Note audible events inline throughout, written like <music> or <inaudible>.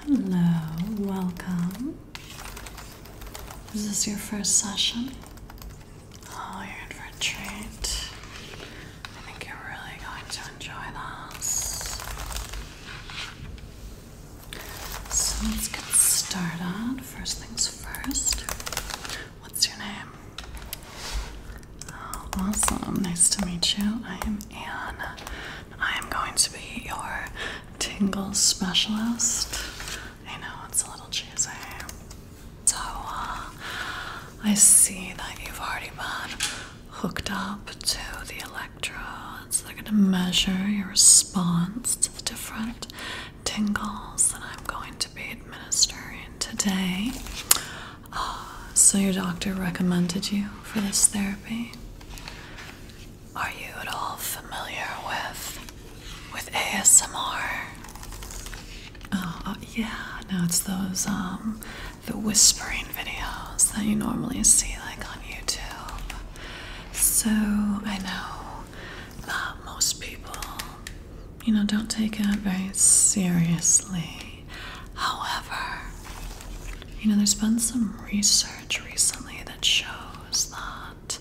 Hello, welcome. Is this your first session? Oh, you're in for a treat. I think you're really going to enjoy this. So let's get started. First things first. What's your name? awesome. Nice to meet you. I am Anne. I am going to be your tingle specialist. I know it's a little cheesy. So, uh, I see that you've already been hooked up to the electrodes. They're going to measure your response to the different tingles that I'm going to be administering today. Oh, so your doctor recommended you for this therapy? Are you at all familiar with with ASMR? Oh uh, yeah, no, it's those um the whispering videos that you normally see like on YouTube. So I know that most people, you know, don't take it very seriously. However, you know, there's been some research recently that shows that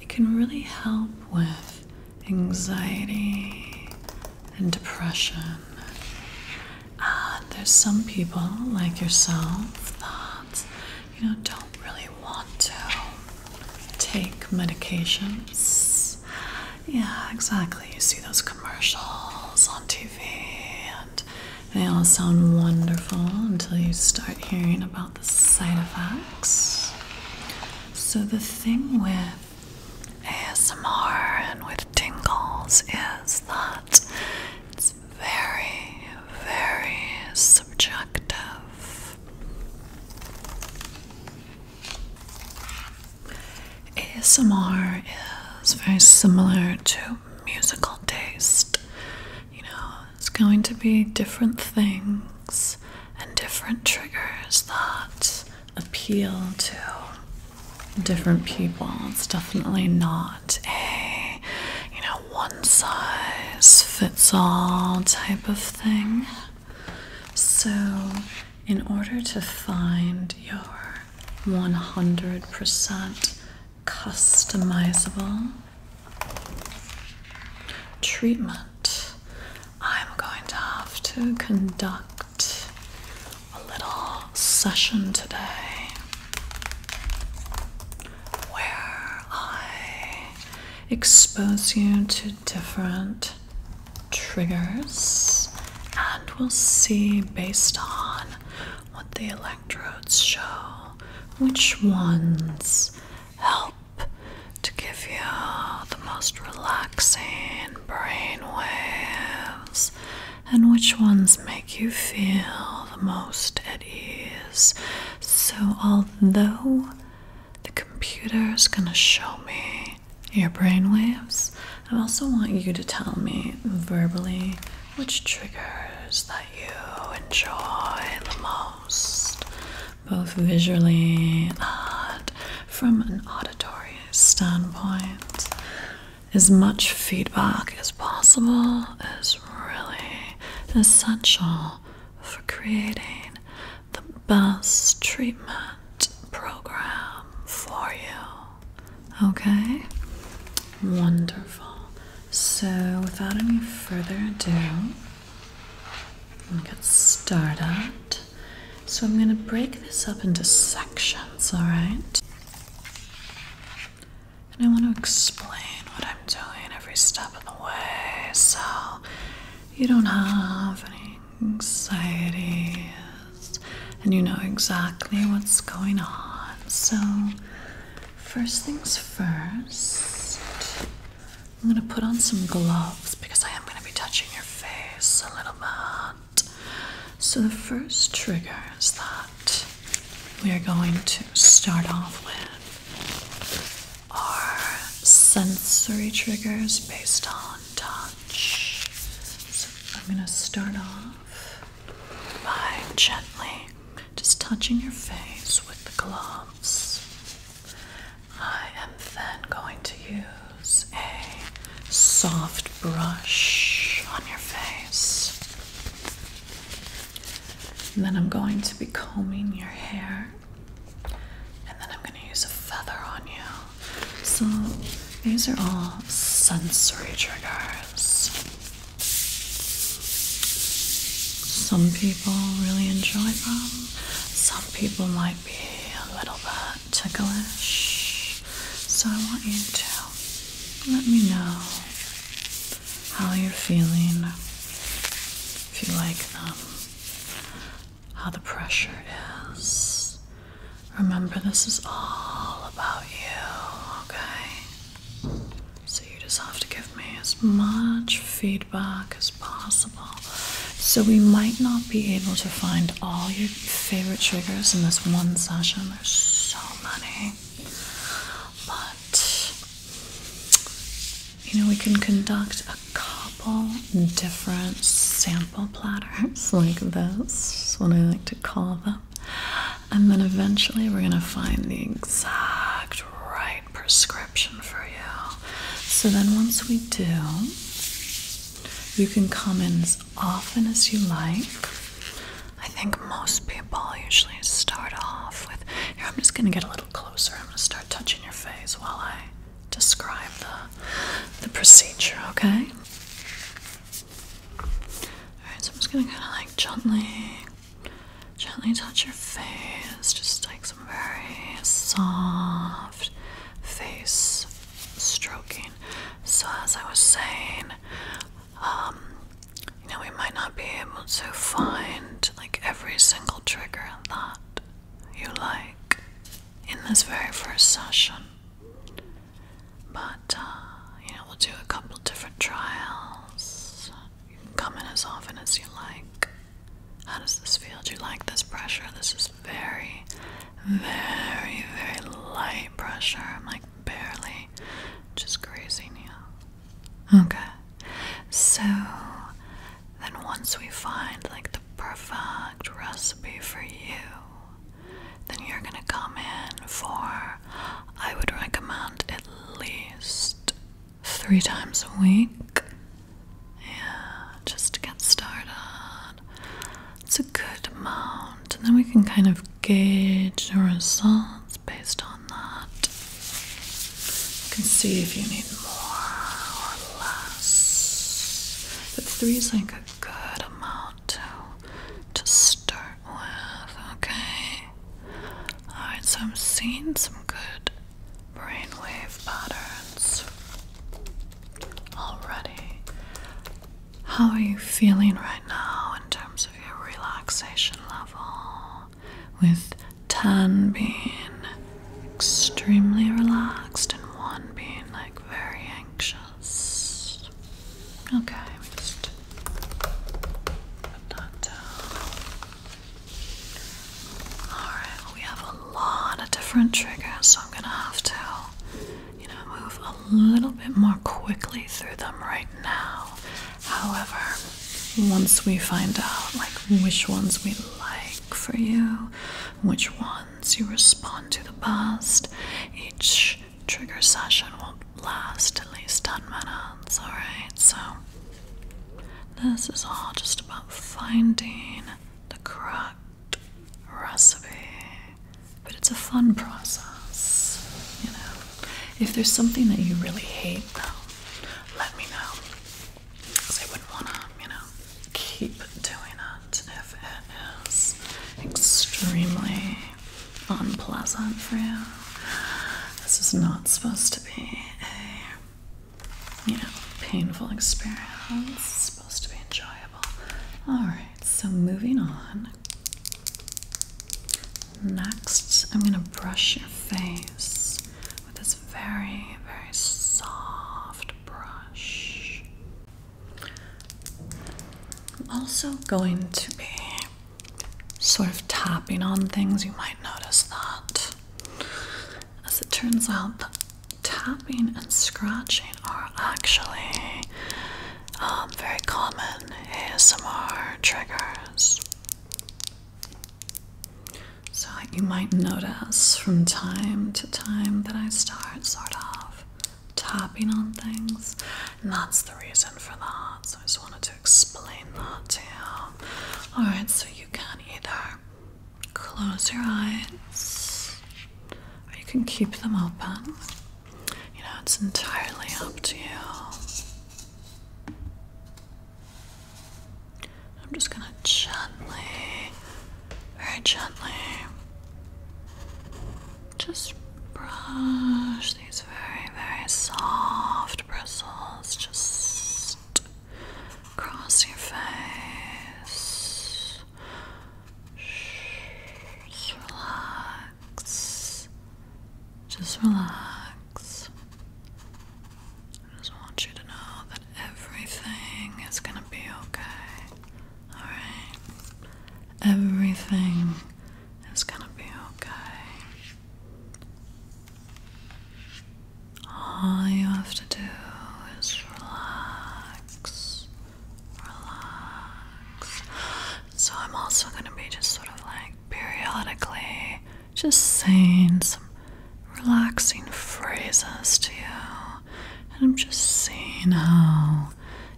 it can really help with anxiety and depression. And there's some people like yourself that, you know, don't really want to take medications. Yeah, exactly. You see those commercials on TV, and they all sound wonderful until you start hearing about the side effects. So, the thing with ASMR and with tingles is that it's very, very subjective. ASMR is very similar to musical taste. You know, it's going to be different things and different triggers that appeal to different people. It's definitely not a, you know, one size fits all type of thing. So, in order to find your 100% customizable treatment, I'm going to have to conduct a little session today where I expose you to different triggers and we'll see based on what the electrodes show which ones help to give you the most relaxing brain waves and which ones make you feel the most at ease. So, although the computer is going to show me your brainwaves. I also want you to tell me verbally which triggers that you enjoy the most, both visually and from an auditory standpoint. As much feedback as possible is really essential for creating the best treatment program for you. Okay? Wonderful. So, without any further ado, I'm start started. So, I'm going to break this up into sections, alright? And I want to explain what I'm doing every step of the way so you don't have any anxiety and you know exactly what's going on. So, first things first, I'm going to put on some gloves because I am going to be touching your face a little bit. So, the first trigger is that we are going to start off with our sensory triggers based on touch. So I'm going to start off by gently just touching your face with the gloves. I am then going to use a soft brush on your face. And then I'm going to be combing your hair. And then I'm going to use a feather on you. So these are all sensory triggers. Some people really enjoy them. Some people might be a little bit ticklish. So I want you to let me know how you're feeling, if you like them, how the pressure is, Remember, this is all about you, okay? So you just have to give me as much feedback as possible. So we might not be able to find all your favorite triggers in this one session. There's so many. But you know, we can conduct a couple different sample platters <laughs> like this, what I like to call them. And then eventually we're going to find the exact right prescription for you. So then once we do, you can come in as often as you like. I think most people usually start off with here, I'm just going to get a little closer. I'm going to start touching your face while I describe the the procedure, okay? Alright, so I'm just gonna kinda like gently gently touch your face. Just like some very soft face stroking. So as I was saying, um, you know, we might not be able to find like every single trigger that you like in this very first session. But, uh, you know, we'll do a couple different trials. You can come in as often as you like. How does this feel? Do you like this pressure? This is very, very, very light pressure. I'm like barely just grazing you. Okay. So, then once we find like the perfect recipe for you, then you're gonna come in for, I would recommend at least three times a week. Yeah, just to get started. It's a good amount, and then we can kind of gauge the results based on that. You can see if you need more or less. But three is like a good amount to to start with, okay? Alright, so I'm seeing some good brainwave patterns already. How are you feeling right now in terms of your relaxation level? With 10 being extremely relaxed and 1 being like very anxious. Okay, we just put that down. Alright, we have a lot of different triggers, so I'm gonna have to, you know, move a little bit more quickly through them right now. However, once we find out like which ones we like for you, which ones once you respond to the past. Each trigger session will last at least 10 minutes, alright? So, this is all just about finding the correct recipe. But it's a fun process, you know. If there's something that you really hate, though, let me know. Because I wouldn't want to, you know, keep doing it if it is extremely unpleasant for you. This is not supposed to be a you know painful experience. It's supposed to be enjoyable. Alright, so moving on. Next, I'm gonna brush your face with this very, very soft brush. I'm also going to be sort of tapping on things. You might notice that. As it turns out, the tapping and scratching are actually um, very common ASMR triggers. So you might notice from time to time that I start sort of tapping on things, and that's the reason for that. So I just wanted to explain that to you. Alright, so you can either close your eyes or you can keep them open. You know, it's entirely up to you. I'm just gonna gently very gently. Just brush these very, very soft bristles just across your face. Just relax. Just relax. I just want you to know that everything is going to be okay. Alright. Everything is gonna be okay. All you have to do is relax. Relax. So, I'm also going to be just sort of like periodically just saying some relaxing phrases to you and I'm just seeing how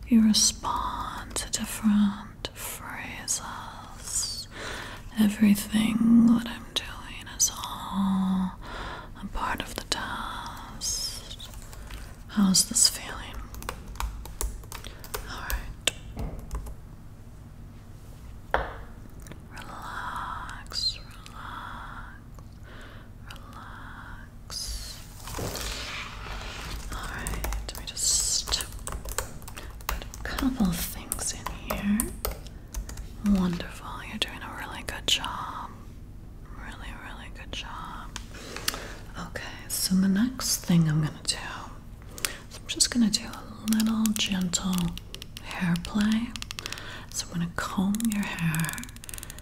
you respond to different phrases. Everything that I'm doing is all a part of the test. How's this feeling? Alright. relax relax. Alright, let just put a couple things in here. Wonderful, you're doing a really good job. Really, really good job. Okay, so the next thing I'm gonna do I'm just gonna do a little gentle hair play. So I'm gonna comb your hair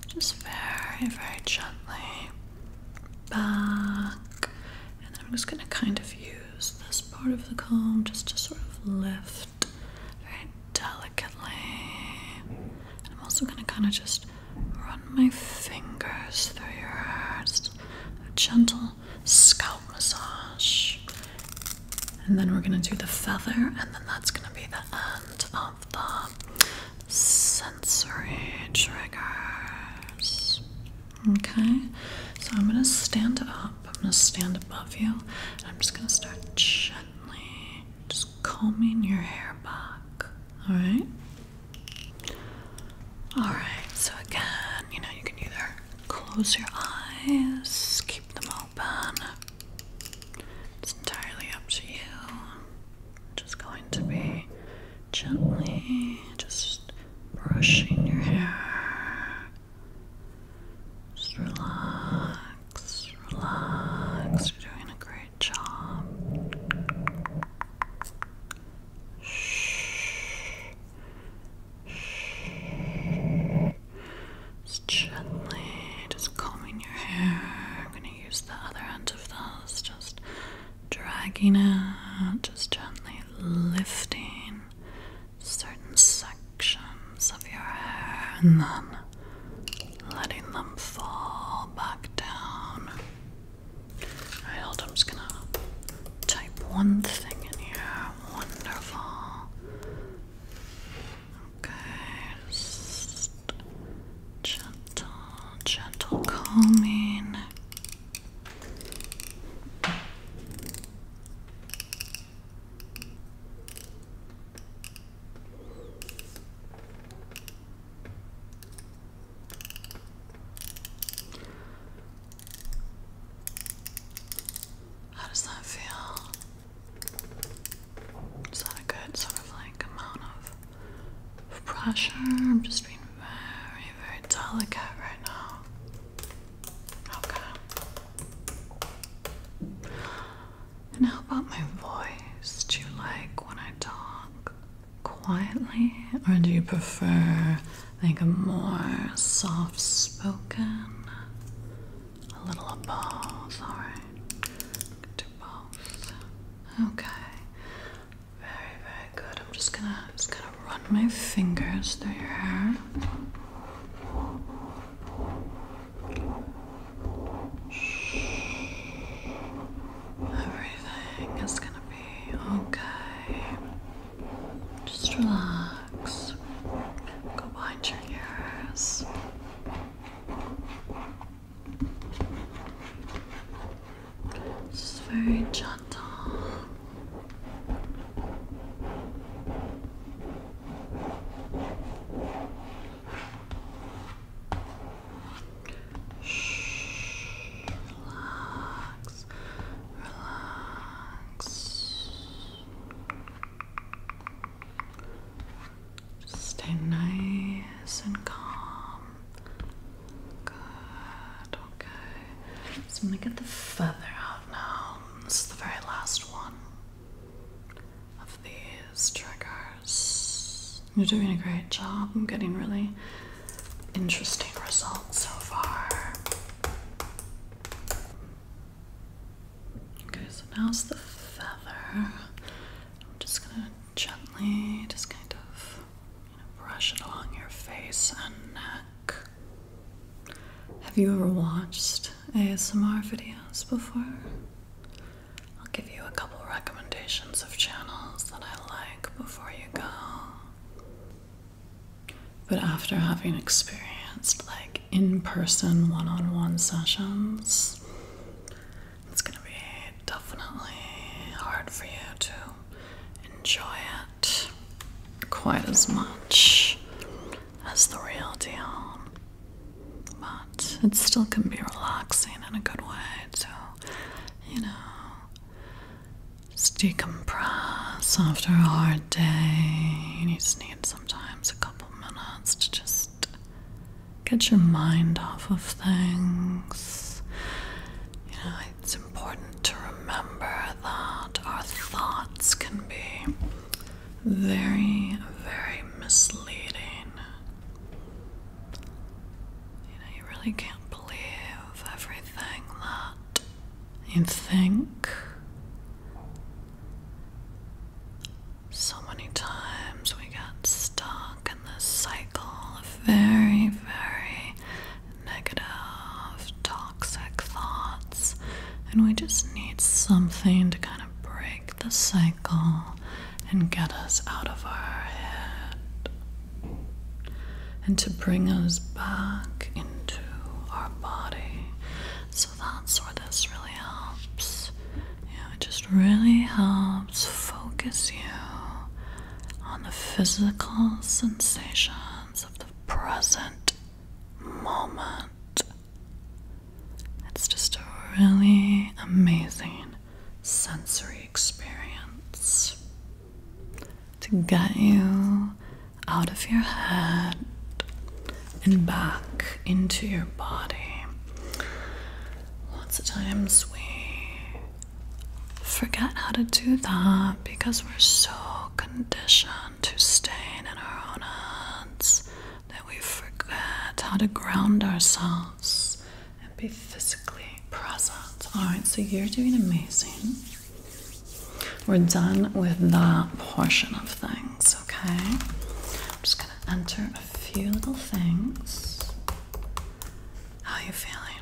just very, very gently back. And then I'm just going to kind of use this part of the comb just to sort of lift very delicately. I'm also going to kind of just run my fingers through your hair. a gentle scalp massage. And then we're going to do the feather, and then that's going to be the end. Um, the sensory triggers. Okay, so I'm gonna stand up, I'm gonna stand above you, I'm just gonna start gently just combing your hair back. Alright? Alright, so again, you know, you can either close your eyes, keep them open. It's entirely up to you just going to be gently just brushing your hair. Just relax, relax. You're doing a great job. Shh. Just gently, just combing your hair use the other end of those, just dragging it, just gently lifting certain sections of your hair and then letting them fall back down. Alright, hold on, I'm just gonna type one thing in here. Wonderful gentle, gentle calming. How does that feel? Is that a good sort of like amount of pressure? I'm just being very, very delicate right now. Okay. And how about my voice? Do you like when I talk quietly? Or do you prefer like a more soft spoken? A little of both, Okay. Very, very good. I'm just gonna just gonna run my fingers through your hair. Everything is gonna be okay. Just relax. Go behind your ears. This is very gentle. Shh, relax, relax, just stay nice and calm. Good, okay. So I'm gonna get the feather out now. This is the very last one of these triggers. You're doing a great job. I'm getting really interesting results so far. Okay, so now's the feather. I'm just gonna gently just kind of brush it along your face and neck. Have you ever watched ASMR videos before? I'll give you a couple recommendations of channels that I like before you go. But after having experienced like in person one on one sessions, it's gonna be definitely hard for you to enjoy it quite as much as the real deal. But it still can be relaxing in a good way So you know, just decompress after a hard day. You just need sometimes a couple minutes to just Get your mind off of things. You know, it's important to remember that our thoughts can be very, very misleading. You know, you really can't believe everything that you think. So many times we got stuck in this cycle of very, very negative, toxic thoughts, and we just need something to kind of break the cycle and get us out of our head. And to bring us back into our body. So that's where this really helps. Yeah, it just really helps focus you on the physical sensations of the present moment. It's just a really amazing sensory experience to get you out of your head and back into your body lots of times we forget how to do that because we're so conditioned to staying in our own heads that we forget how to ground ourselves and be physically present. Alright, so you're doing amazing. We're done with that portion of things, okay? I'm just gonna enter a few little things. How are you feeling?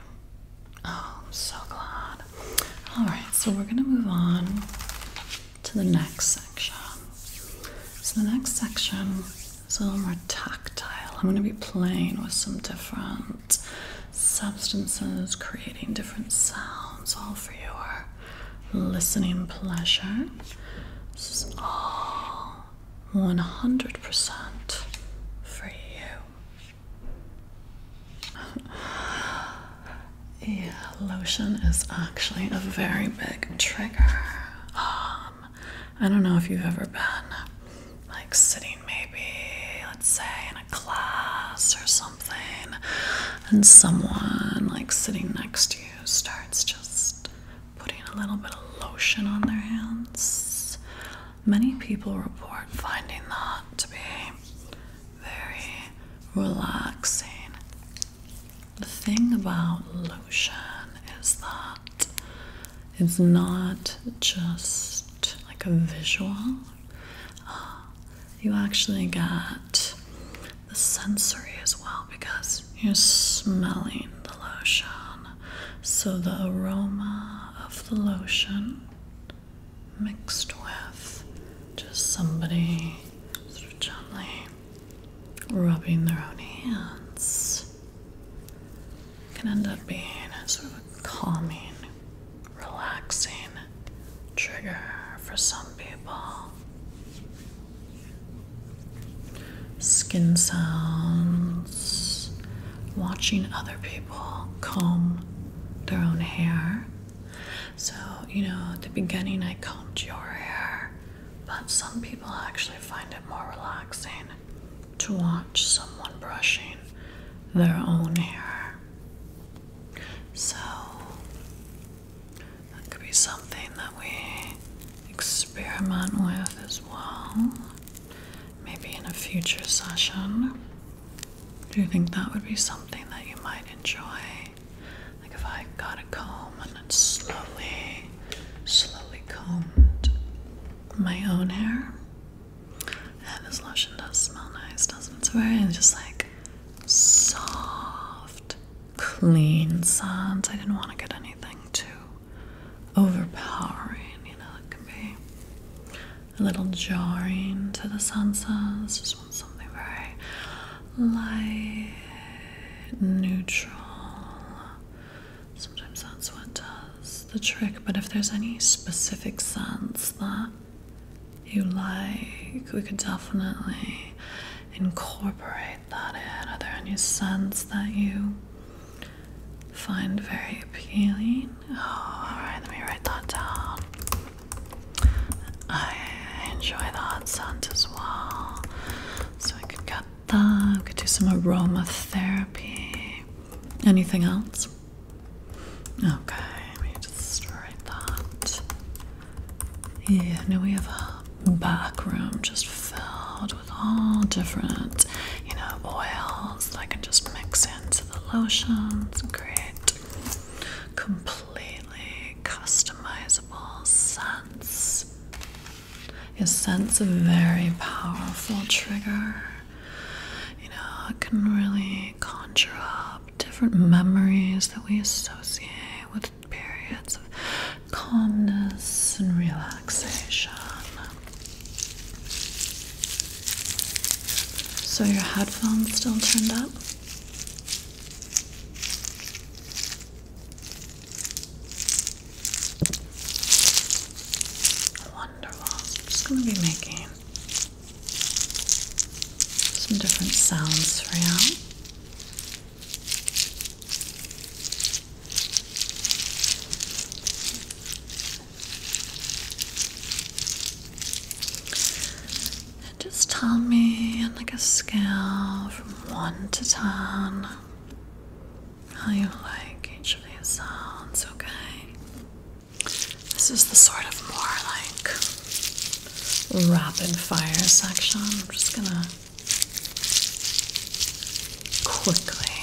Oh, I'm so glad. Alright, so we're gonna move on to the next section. So the next section is a little more tactile. I'm gonna be playing with some different substances, creating different sounds, all for your listening pleasure. This is all 100% for you. <laughs> yeah, lotion is actually a very big trigger. Um, I don't know if you've ever been like sitting maybe, let's say, in a class or something, and someone like sitting next to you starts just putting a little bit of lotion on their hands. Many people report finding that to be very relaxing. The thing about lotion is that it's not just like a visual, uh, you actually get the sensory as well because you're smelling the lotion. So the aroma of the lotion mixed with just somebody sort of gently rubbing their own hands can end up being a sort of a calming, relaxing trigger for some people skin sounds, watching other people comb their own hair. So, you know, at the beginning I combed your hair, but some people actually find it more relaxing to watch someone brushing their own hair. So, that could be something that we experiment with as well. Maybe in a future session. Do you think that would be something that you might enjoy? Like if I got a comb and then slowly, slowly combed my own hair. And this lotion does smell nice, doesn't it? It's very just like soft, clean scents. I didn't want to get anything too overpowering, you know, it can be a little jarring to the senses. Just want something very light, neutral. Sometimes that's what does the trick, but if there's any specific scents that you like, we could definitely incorporate that in? Are there any scents that you find very appealing? Oh, alright, let me write that down. I enjoy that scent as well. So we could get that, I could do some aromatherapy. Anything else? Okay, let me just write that. Yeah, no, we have back room just filled with all different, you know, oils that I can just mix into the lotions. Great, completely customizable scents. Your sense of very powerful trigger. You know, it can really conjure up different memories that we associate with periods of calmness and relaxation. So, your headphones still turned up? Wonderful. I'm just going to be making some different sounds for you just tell me on like a scale from one to ten how you like each of these sounds, okay? This is the sort of more like rapid fire section. I'm just gonna quickly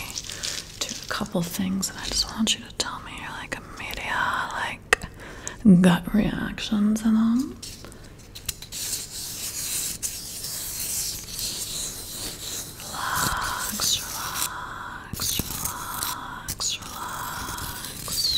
do a couple things and I just want you to tell me your like immediate like gut reactions in them. Relax, relax, relax, relax.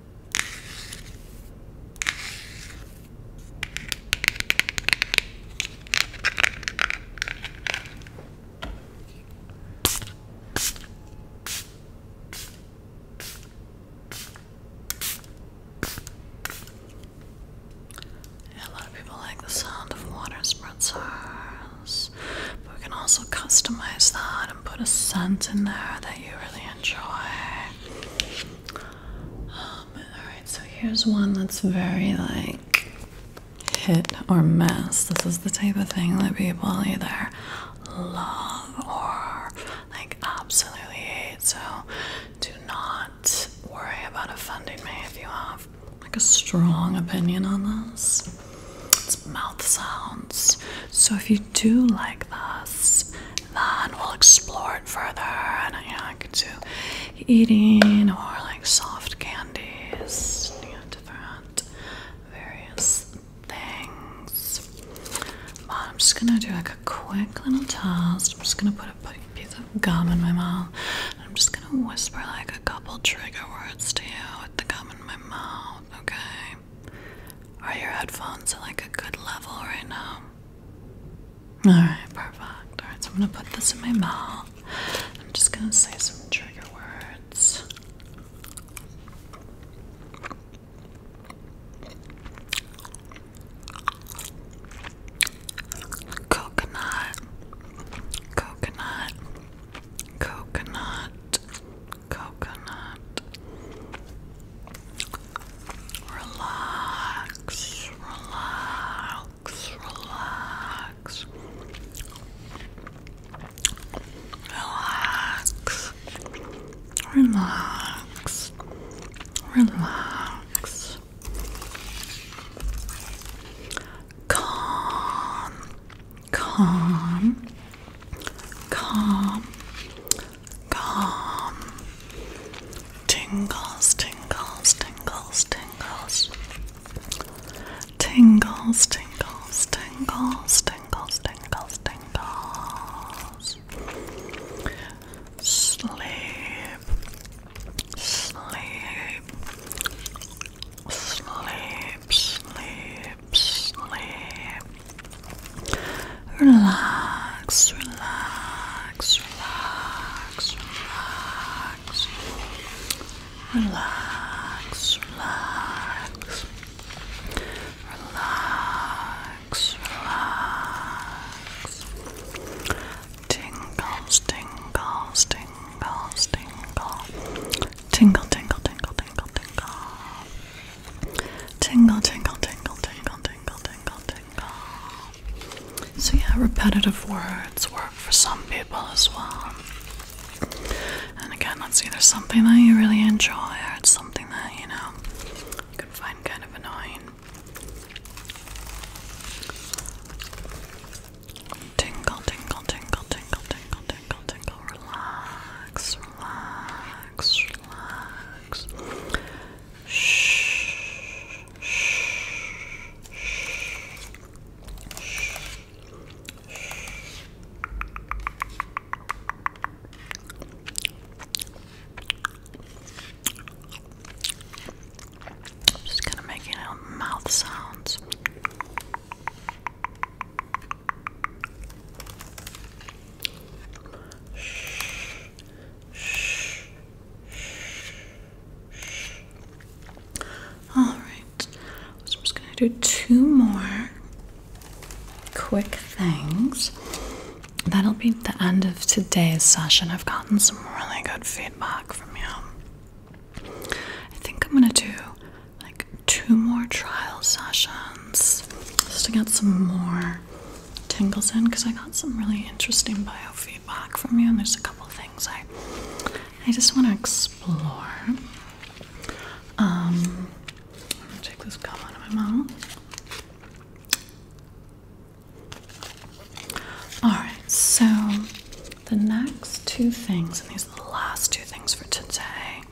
A lot of people like the sound of water spritzers we can also customize that and put a scent in there that you really enjoy. Um, alright, so here's one that's very like hit or miss. This is the type of thing that people either love or like absolutely hate. So do not worry about offending me if you have like a strong opinion on this it's mouth sounds. So if you do like this, then we'll explore it further. And you know, I could do eating or like soft candies, you different various things. But I'm just gonna do like a quick little test. I'm just gonna put a piece of gum in my mouth. I'm just gonna whisper like a couple trigger words to you with the gum in my mouth, okay? Are your headphones at like a good level right now? Alright, perfect. Alright, so I'm gonna put this in my mouth. I'm just gonna say some trigger words. Coconut, coconut, coconut, coconut. Relax, relax, relax. Relax, relax, relax. Calm, calm, calm, calm. Tingles, tingles, tingles, tingles. Tingles, tingles, tingles, tingles, tingles, tingles. Sleep, sleep, sleep, sleep, sleep. Relax, relax, relax, relax. Relax, relax. Relax, relax. Tingles, tingles, tingles, tingle. Tingle, tingle, tingle, tingle, tingle. Tingle, tingle, tingle, tingle, tingle, tingle, tingle. So, yeah, repetitive words work for some people as well. And again, that's either something that you really enjoy or it's something that, you know, you can find kind of annoying. Tingle, tingle, tingle, tingle, tingle, tingle, tingle, so relax, relax, relax. Shh, shh, shh, shh. I'm just gonna make you know mouth sounds. Shh. Shh. Shh. All right. I'm just going to do two more quick things. That'll be the end of today's session. I've gotten some really good feedback from you. I think I'm going to do like two more trial sessions just to get some more tingles in because I got some really interesting biofeedback from you and there's a couple things I I just want to explore. Um take this gum out of my mouth. Alright, so the next two things, and these are the last two things for today,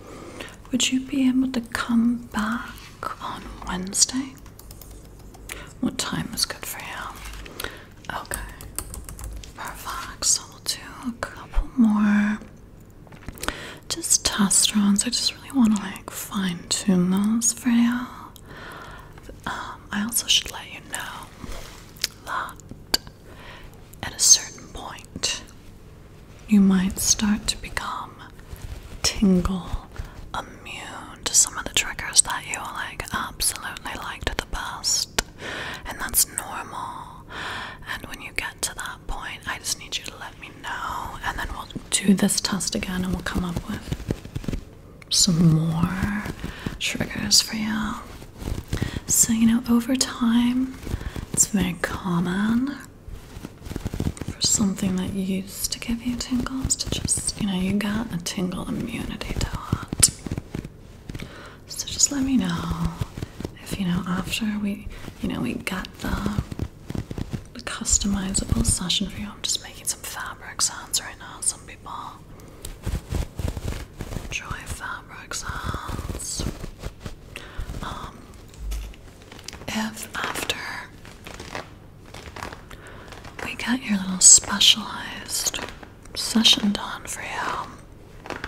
would you be able to come back on Wednesday? What time is good for you? Okay. Perfect. So we'll do a couple more just test rounds. I just really want to like fine tune those for you. Um, I also should let you know that at a certain point you might start to become tingle immune to some of the triggers that you like absolutely liked the best. And that's normal. And when you get to that point, I just need you to let me know. And then we'll do this test again and we'll come up with some more triggers for you. So, you know, over time, it's very common for something that used to give you tingles to just, you know, you got a tingle immunity to it. So just let me know if you know after we, you know, we got the, the customizable session for you. I'm just making some fabric sounds right now. Some people enjoy fabric sounds. Um, if after we got your little specialized session done for you,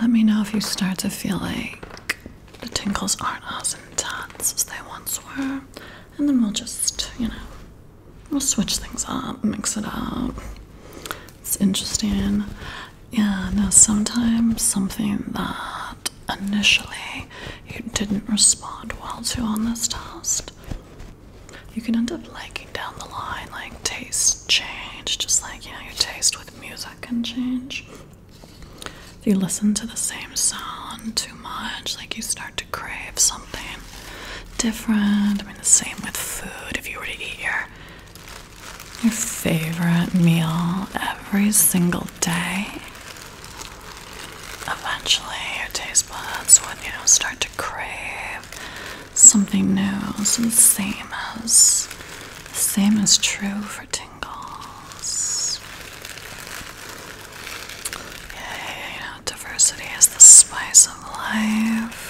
let me know if you start to feel like the tingles aren't as intense as they once were, and then we'll just, you know, we'll switch things up, mix it up. It's interesting. Yeah, now sometimes something that initially you didn't respond well to on this test, you can end up liking down the line, like tastes change, just like you know, your taste with music can change. If you listen to the same sound too much, like you start to crave something different. I mean, the same with food. If you were to eat your your favorite meal every single day, eventually your taste buds will, you know, start to crave something new. So the same as the same is true for tingles. Yeah, you know, diversity is the spice of life.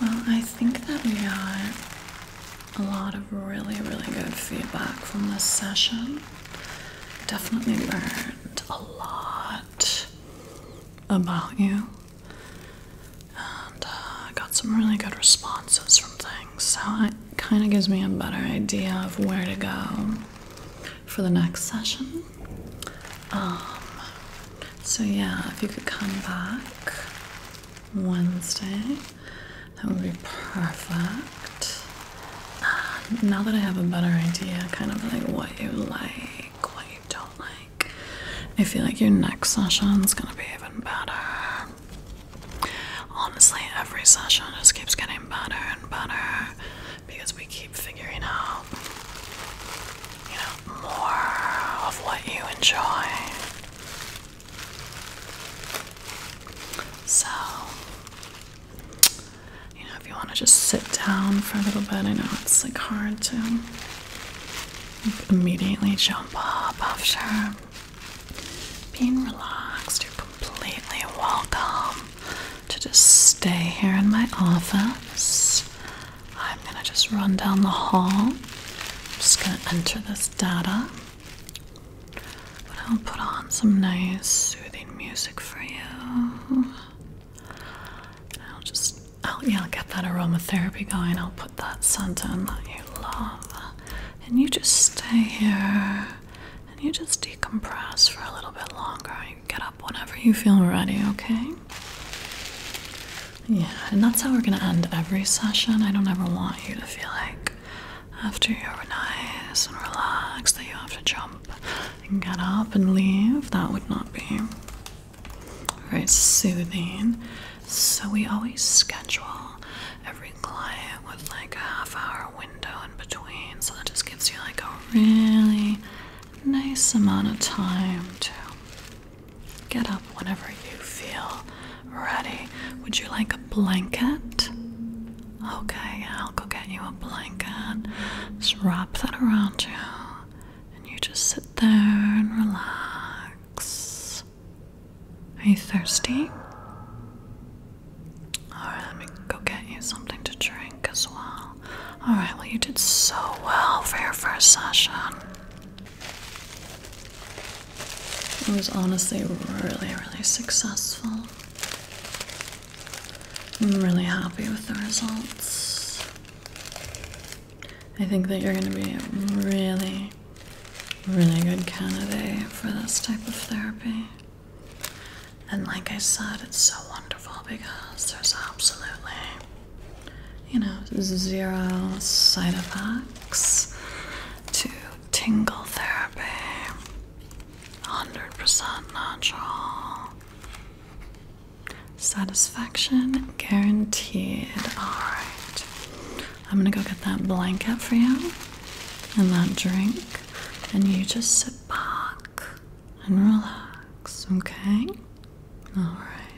Well, I think that we got a lot of really, really good feedback from this session. Definitely learned a lot about you and uh, got some really good responses from things. So it kind of gives me a better idea of where to go for the next session. Um, so, yeah, if you could come back Wednesday. That would be perfect. Um, now that I have a better idea, kind of like what you like, what you don't like, I feel like your next session's gonna be even better. Honestly, every session just keeps getting better and better because we keep figuring out, you know, more of what you enjoy. So, you know, if you want to just sit down for a little bit, I know it's like hard to immediately jump up after being relaxed. You're completely welcome to just stay here in my office. I'm going to just run down the hall. I'm just going to enter this data. But I'll put on some nice soothing music for you. I'll just, yeah, I'll get that aromatherapy going. I'll put that scent in that you love. And you just stay here and you just decompress for a little bit longer. You get up whenever you feel ready, okay? Yeah, and that's how we're gonna end every session. I don't ever want you to feel like after you're nice and relaxed that you have to jump and get up and leave. That would not be very soothing. So we always schedule every client with like a half hour window in between. So that just gives you like a really nice amount of time to Get up whenever you feel ready. Would you like a blanket? Okay, I'll go get you a blanket. Just wrap that around you, and you just sit there and relax. Are you thirsty? Alright, let me go get you something to drink as well. Alright, well, you did so well for your first session. It was honestly really, really successful. I'm really happy with the results. I think that you're going to be a really, really good candidate for this type of therapy. And like I said, it's so wonderful because there's absolutely you know, zero side effects to tingle therapy. 100% natural. Satisfaction guaranteed. Alright. I'm gonna go get that blanket for you and that drink, and you just sit back and relax, okay? Alright.